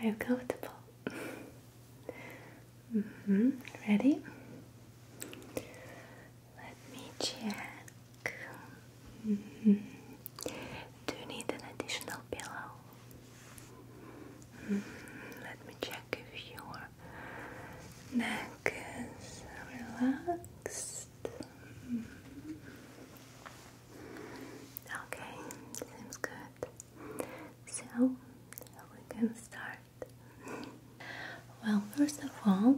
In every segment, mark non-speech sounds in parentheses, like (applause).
i you comfortable? mm -hmm. Ready? Let me check. Mm-hmm. Do you need an additional pillow? Mm-hmm. Let me check if your neck is relaxed. Mm-hmm. Okay, seems good. So we can start. Well, first of all,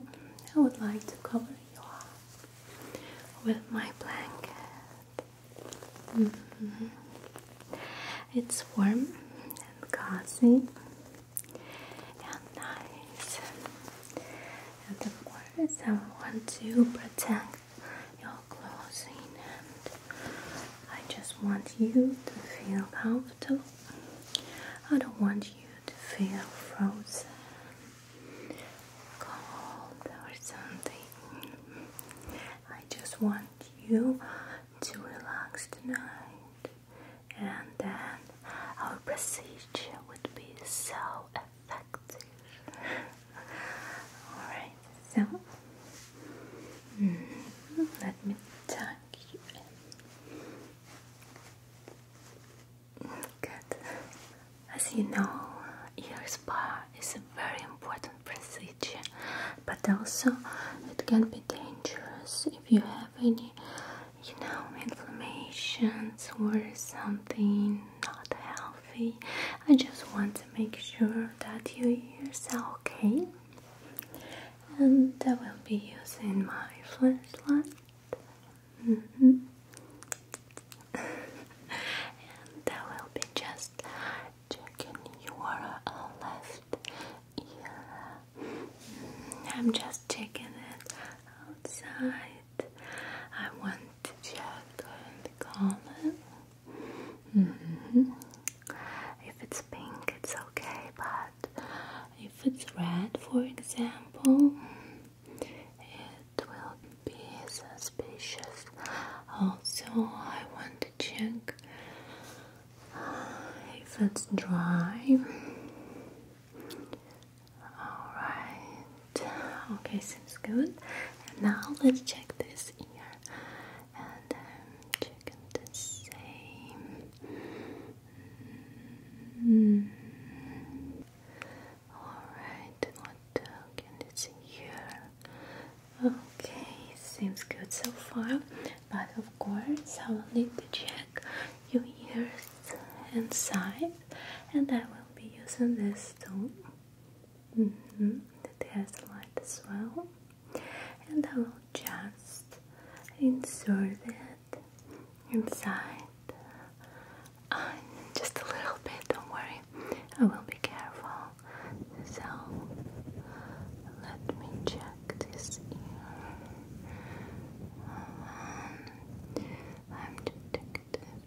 I would like to cover you up with my blanket. Mm-hmm. It's warm and cozy and nice of course I want to protect your clothing and I just want you to feel comfortable. I don't want you to feel frozen, cold or something. I just want you to relax tonight and then our procedure would be so effective. Alright, so hmm, let me tuck you Good. As you know, ear spa is a very important procedure, but also it can be dangerous if you have any, you know, inflammations or something not healthy. I just want to make sure that you ears are okay. And I will be using my flashlight. Mm (laughs) and I will be just checking your uh, left ear. Mm-hmm. I'm just taking it outside. I want to check the color. Mm-hmm. If it's pink, it's okay, but if it's red, for example, it will be suspicious. Also, I want to check uh, if it's dry. Alright, okay, seems good. And now let's check this ear and um, check the same. Mm. Alright, what can you see here? Okay, seems good so far, but of course, I will need to check your ears inside, and I will be using this tool. Mm -hmm. It has light as well, and I will just insert it inside ah, just a little bit. Don't worry, I will be careful. So let me check this ear. Um, I'm detective.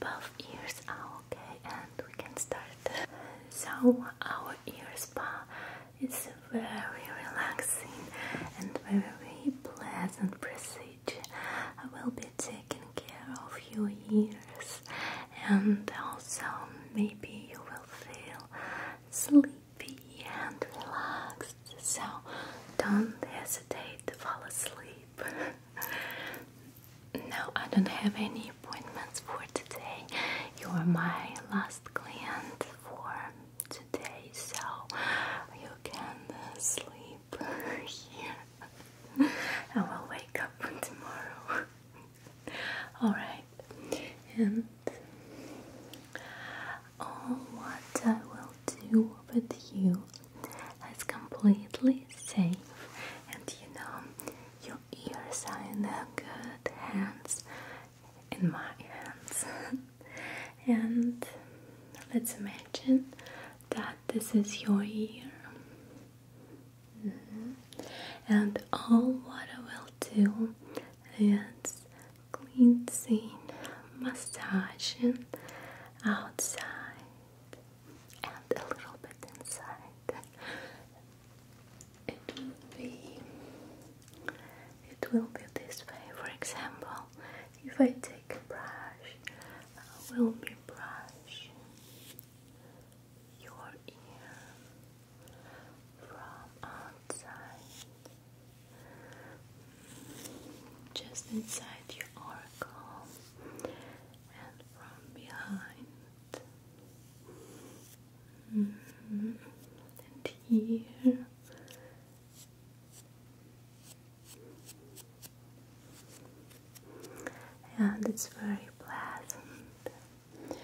Both ears are ah, okay, and we can start. So, our ear spa is very relaxing and very pleasant procedure. I will be taking care of your ears, and also maybe you will feel sleepy and relaxed. So, don't hesitate to fall asleep. (laughs) no, I don't have any appointments for today. You are my last client for today, so you can sleep (laughs) here. I will wake up (laughs) tomorrow. Alright, and all what I will do with you it's completely safe. And you know, your ears are in good hands, in my hands. (laughs) and let's imagine that this is your ear. Mm-hmm. And all what I will do is cleansing, massaging outside and a little bit inside. It will be it will be this way. For example, if I take a brush, I uh, will be brushing your ear from outside, just inside your oracle, and from behind. And here. And it's very pleasant.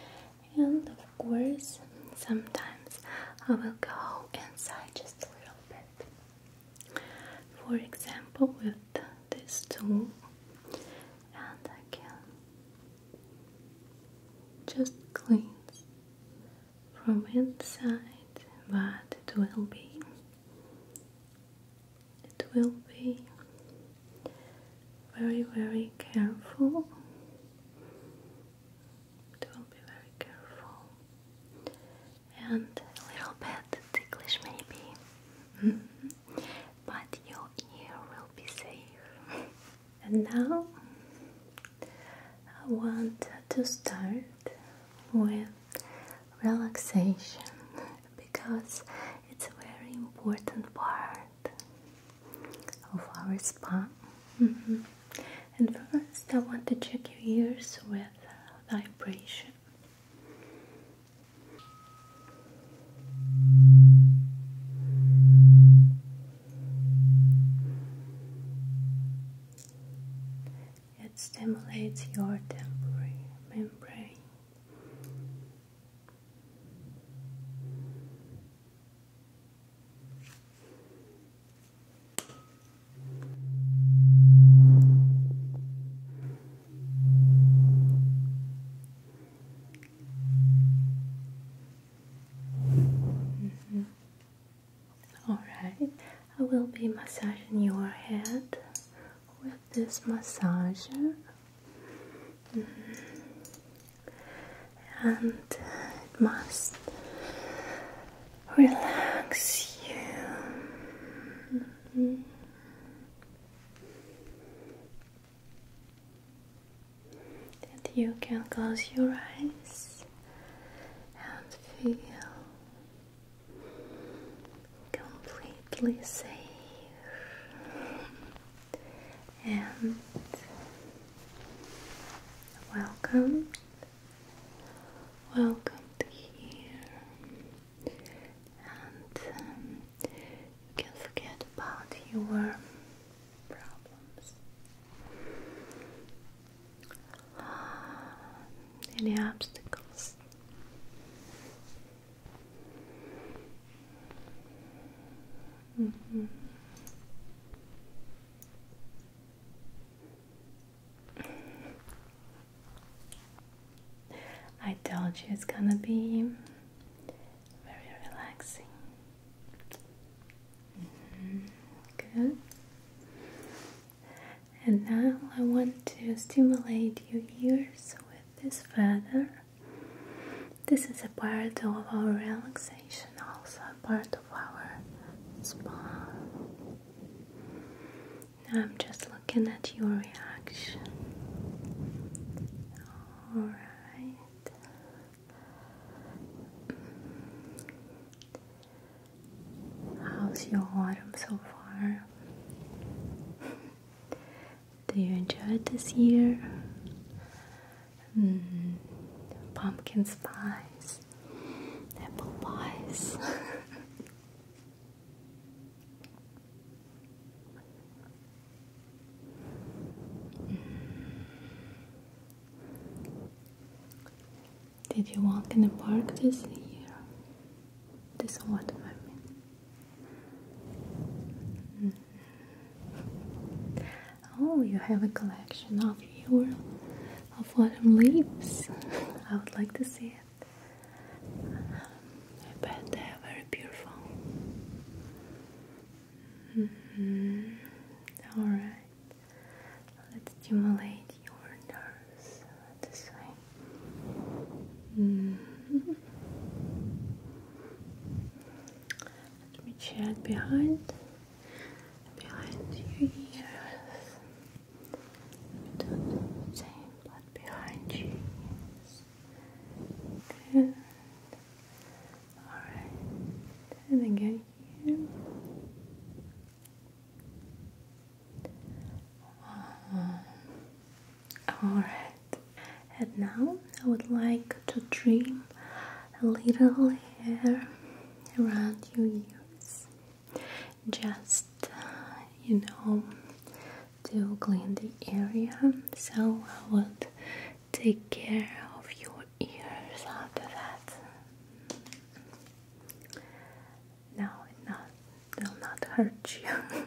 And of course, sometimes I will go inside just a little bit. For example, with this tool, and again. Just cleanse from inside, but it will be. It will be very, very careful. It will be very careful and a little bit ticklish, maybe. Mm-hmm but your ear will be safe. (laughs) and now I want to start with relaxation because it's a very important part of our spa. Mm-hmm. And first, I want to check your ears with vibration. It stimulates your temporary membrane. Mm-hmm. Alright, I will be massaging your head with this massager. Mm-hmm. And it must relax you. Mm-hmm that you can close your eyes and feel completely safe and welcome welcome to here and um, you can forget about your problems. Ah, any obstacles? Mm-hmm. I told you it's gonna be very relaxing. Mm-hmm. Good. And now I want to stimulate your ears with this feather. This is a part of our relaxation, also a part of our spa. Now I'm just looking at your reaction. All right. How's your autumn so far? Do you enjoy it this year? Hmm. pumpkin spice, apple pies. (laughs) Did you walk in the park this year? This autumn, I mean. Oh, you have a collection of your of autumn leaves. (laughs) I would like to see it but they're uh, very beautiful. Mm-hmm. Alright, let's stimulate your nerves this way. Mm-hmm. Let me check behind, behind your ears. Let me do same, but behind your ears. Good. Alright. And again here. Um, Alright. And now I would like to dream a little hair around your ears. Just, uh, you know, to clean the area, so I would take care of your ears after that. No, it not, will not hurt you.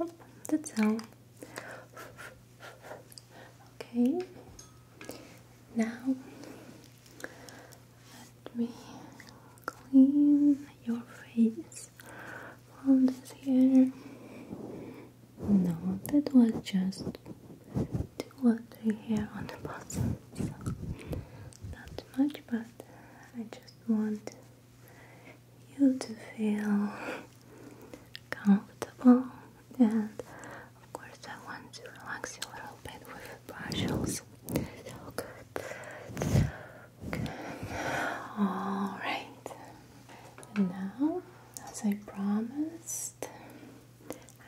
Oh, that's all. okay, now let me clean your face from this hair. No, that was just the watery hair on the bottom, so not much, but I just want you to feel comfortable and of course I want to relax you a little bit with brushes. good. Alright. now as I promised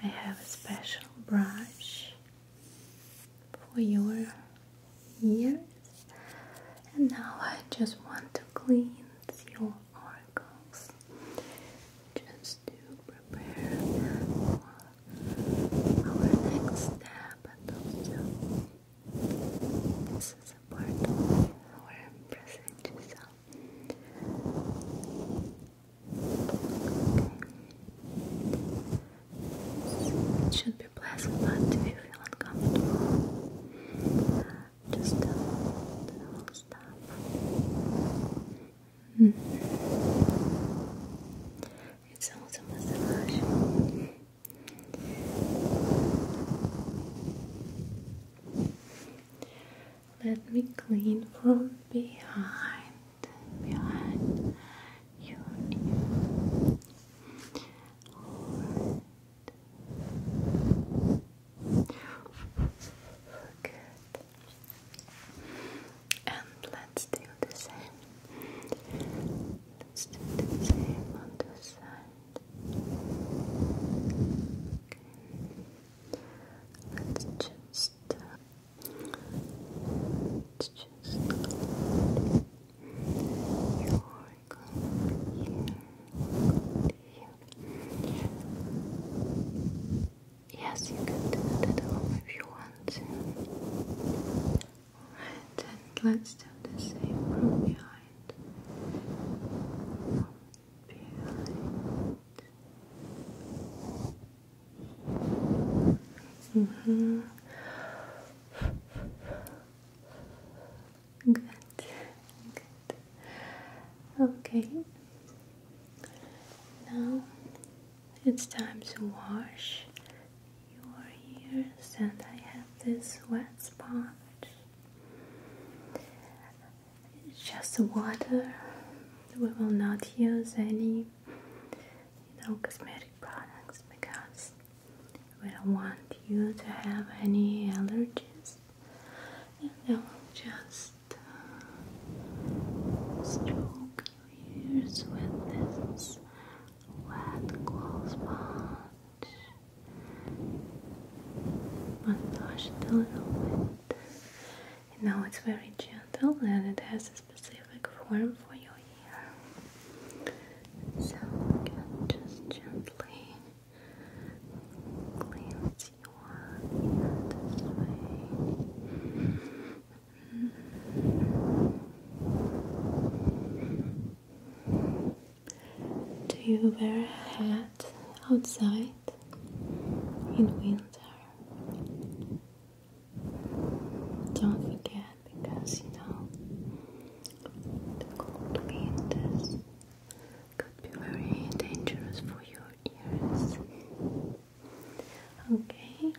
I have a special brush for your ears and now I just want to clean cleanse your oracles just to prepare for our next step also this is a part of our present it should be pleasant but if you feel uncomfortable just tell them stop. -hmm. It's also massage. Let me clean from behind, behind your Good. And let's do the same. Let's do the same on the side. Okay. Let's just. Uh, let's just. Yes, you can do that at home if you want to. and let's do the same from behind. From behind. Mm -hmm. Good. Okay. Now it's time to wash your ears, and I have this wet sponge. It's just water. We will not use any, you know, cosmetic products because we don't want you to have any allergies and I will just uh, stroke your ears with this wet cool sponge. Massage a little bit. And now it's very gentle and it has a specific form for your ear. So just gently cleans your ear this Do you wear a hat outside in winter? Don't forget because you know the cold winters could be very dangerous for your ears. Okay,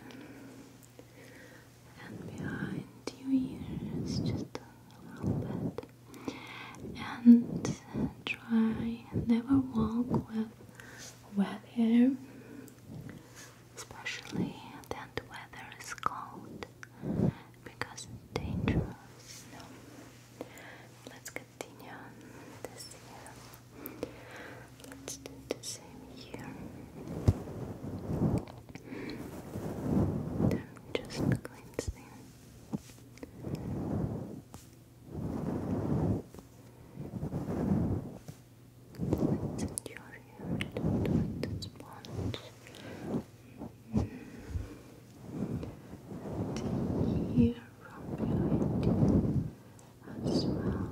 and behind your ears, just a little bit, and try never walk with wet hair, especially that the weather is cold because it's dangerous. Let's continue on this here. Let's do the same here. I'm just Let's endure here. Don't want to sponge and here from behind as well.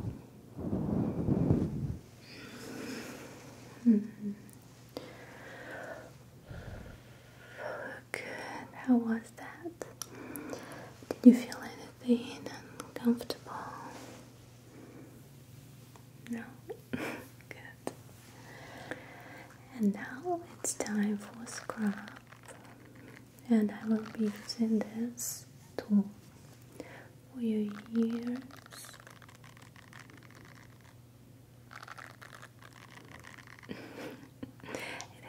Good. How was that? Did you feel anything uncomfortable? No. (laughs) Good. And now it's time for scrub. And I will be using this tool for your ears. (laughs) it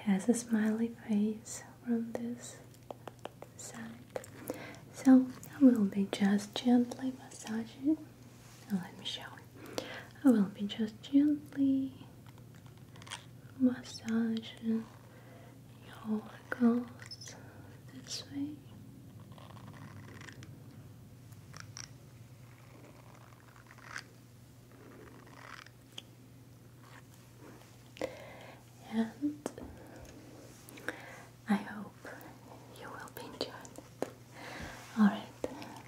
has a smiley face from this side. So I will be just gently massaging. Now let me show I will be just gently massage your ankles this way. And I hope you will be enjoying it. Alright,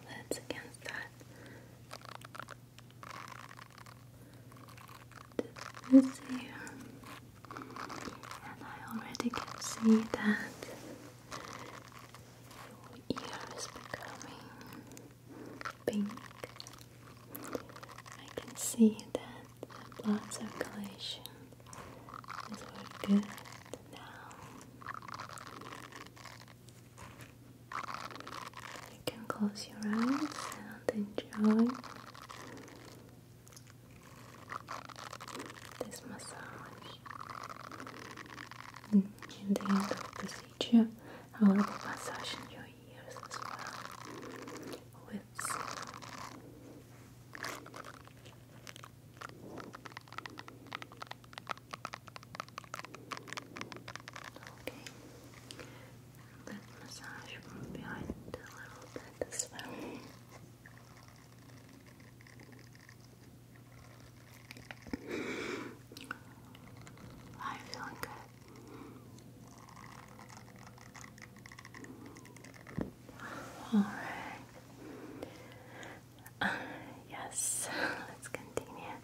let's again start this here, and I already can see that your ear is becoming pink. I can see that the blood circulation is very good now. You can close your eyes and enjoy this massage. In the end of the procedure, I will massage in your ears as well with Okay. That massage behind a little bit as I'm feeling good. Alright. Uh, yes, (laughs) let's continue.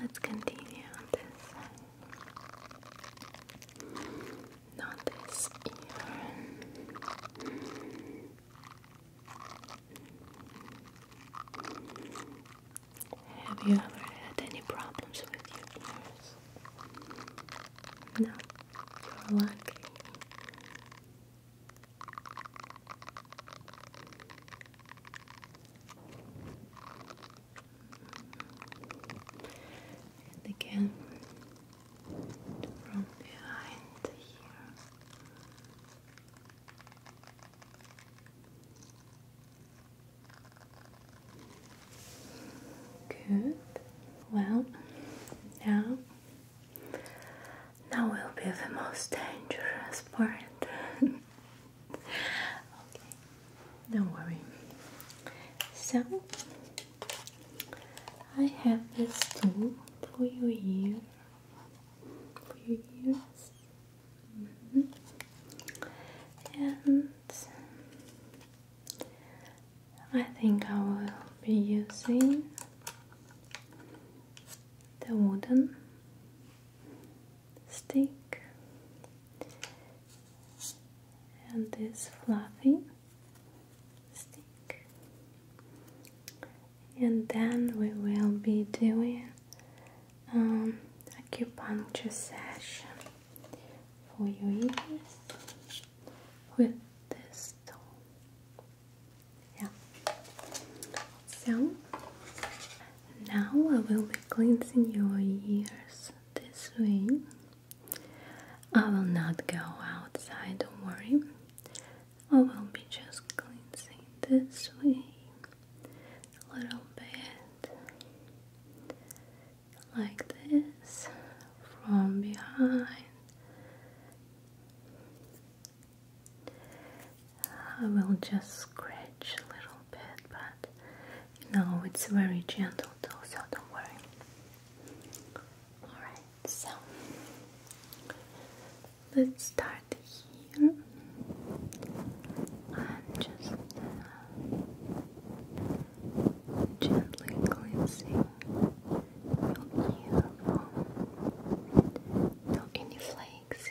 Let's continue on this Not this ear. Have you ever had any problems with your ears? No, you're lucky. And again, from behind here. Good. Well, now, now will be the most dangerous part. (laughs) okay, don't worry. So, I have this tool for your ear, for your ears, mm and I think I will be using the wooden stick and this fluffy stick, and then we will be doing um, acupuncture session for your ears with this tool. Yeah, so now I will be cleansing your ears this way. I will not go outside, don't worry. I will be just cleansing this way a little bit like this from behind I will just scratch a little bit, but you know it's very gentle though, so don't worry. Alright, so let's start here. I'm just uh, gently cleansing your ear from any flakes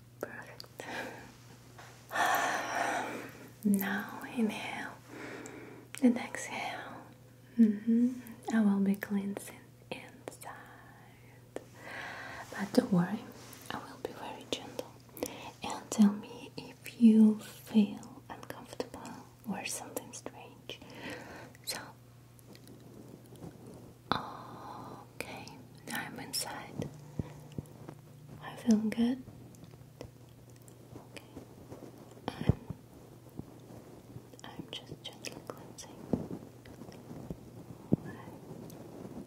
Perfect. (sighs) now inhale and exhale. I will be cleansing inside. But don't worry, I will be very gentle. And tell me if you feel uncomfortable or something strange. So, okay, now I'm inside i feel good. Okay. I'm I'm just gently cleansing.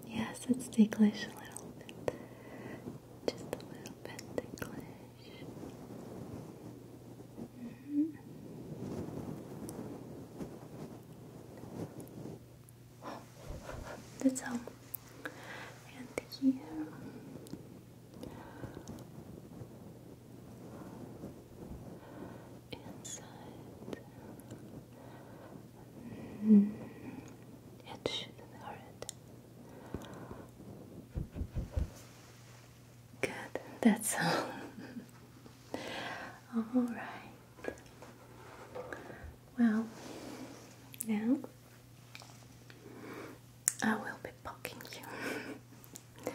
Yes, it's ticklish a little bit. Just a little bit ticklish. -hmm. That's all. And here. Inside. Mm. It shouldn't hurt. Good, that's (laughs) all. all right. Well, now I will be poking you.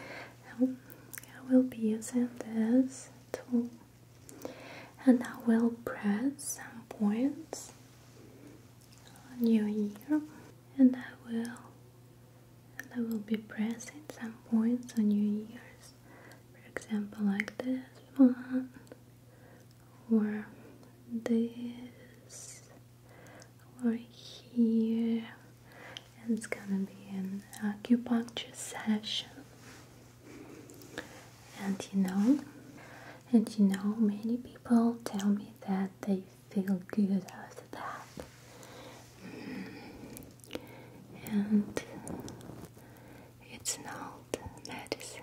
I will be using this tool and I will press some points on your ear and I will and I will be pressing some points on your ears. For example like this one or this or here and it's gonna be an acupuncture session and you know and you know many people tell me that they feel good after that mm-hmm. and it's not medicine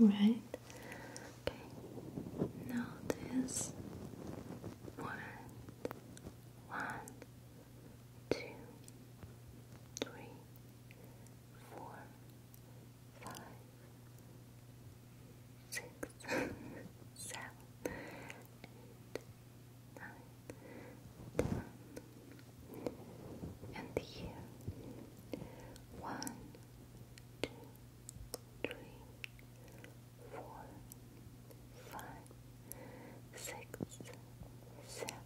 Alright. Okay. Notice one, one, two, three, four, five, six, seven, eight, nine, ten. And here, one, two, three, four, five, six, seven,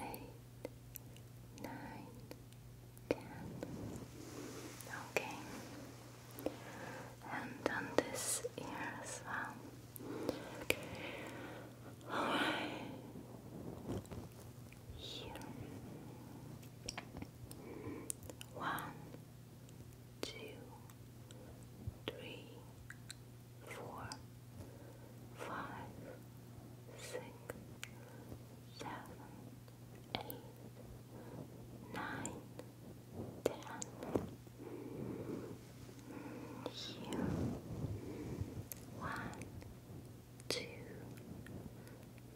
eight, nine, ten. Okay, and on this ear as well. Okay. All right. Here. One, two, three, four, five, six, seven, eight, nine, ten. Here. One, two,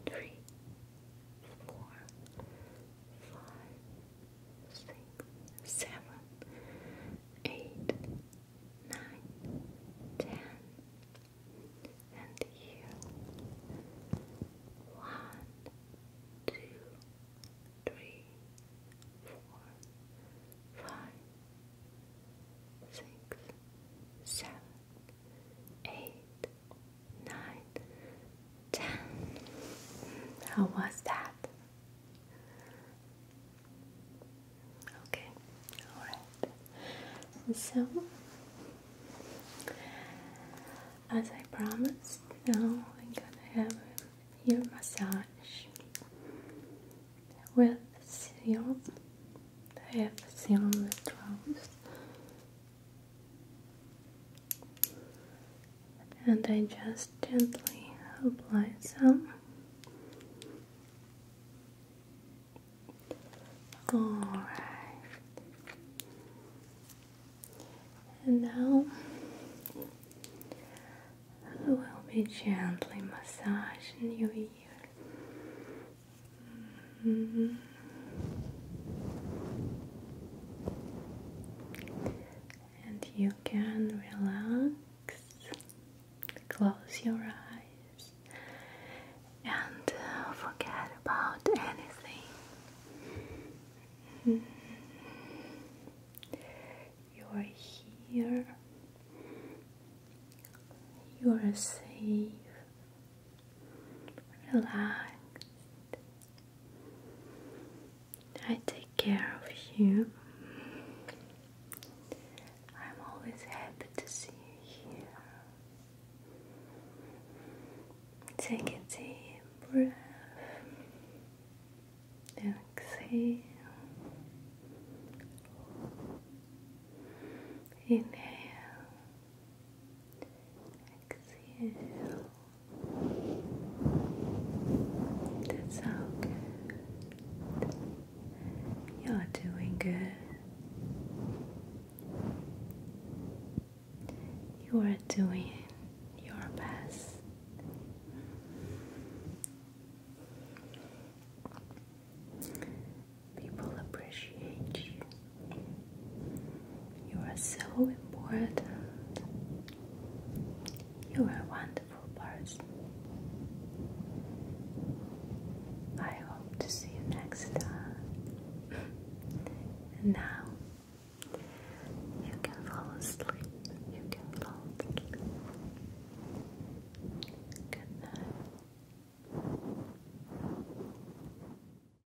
three, four, five, six, seven, eight, nine, ten, and here one, two, three, four, five, six, seven, eight, nine, ten. How was that? Okay, alright. So, as I promised, now we're gonna have your massage with serum. I have serum withdrawals and I just gently apply some alright and now I will be gently massaging new year. Mm-hmm. And you can relax, close your eyes, and uh, forget about anything. Mm-hmm. You are here, you are safe. Relax. I take care of you. I'm always happy to see you here. Take a deep breath exhale. Inhale Exhale. That's all You're doing good. You are doing your best. People appreciate you. You are so important. You are a wonderful person. I hope to see you next time. and now you can fall asleep. You can fall asleep. Good night.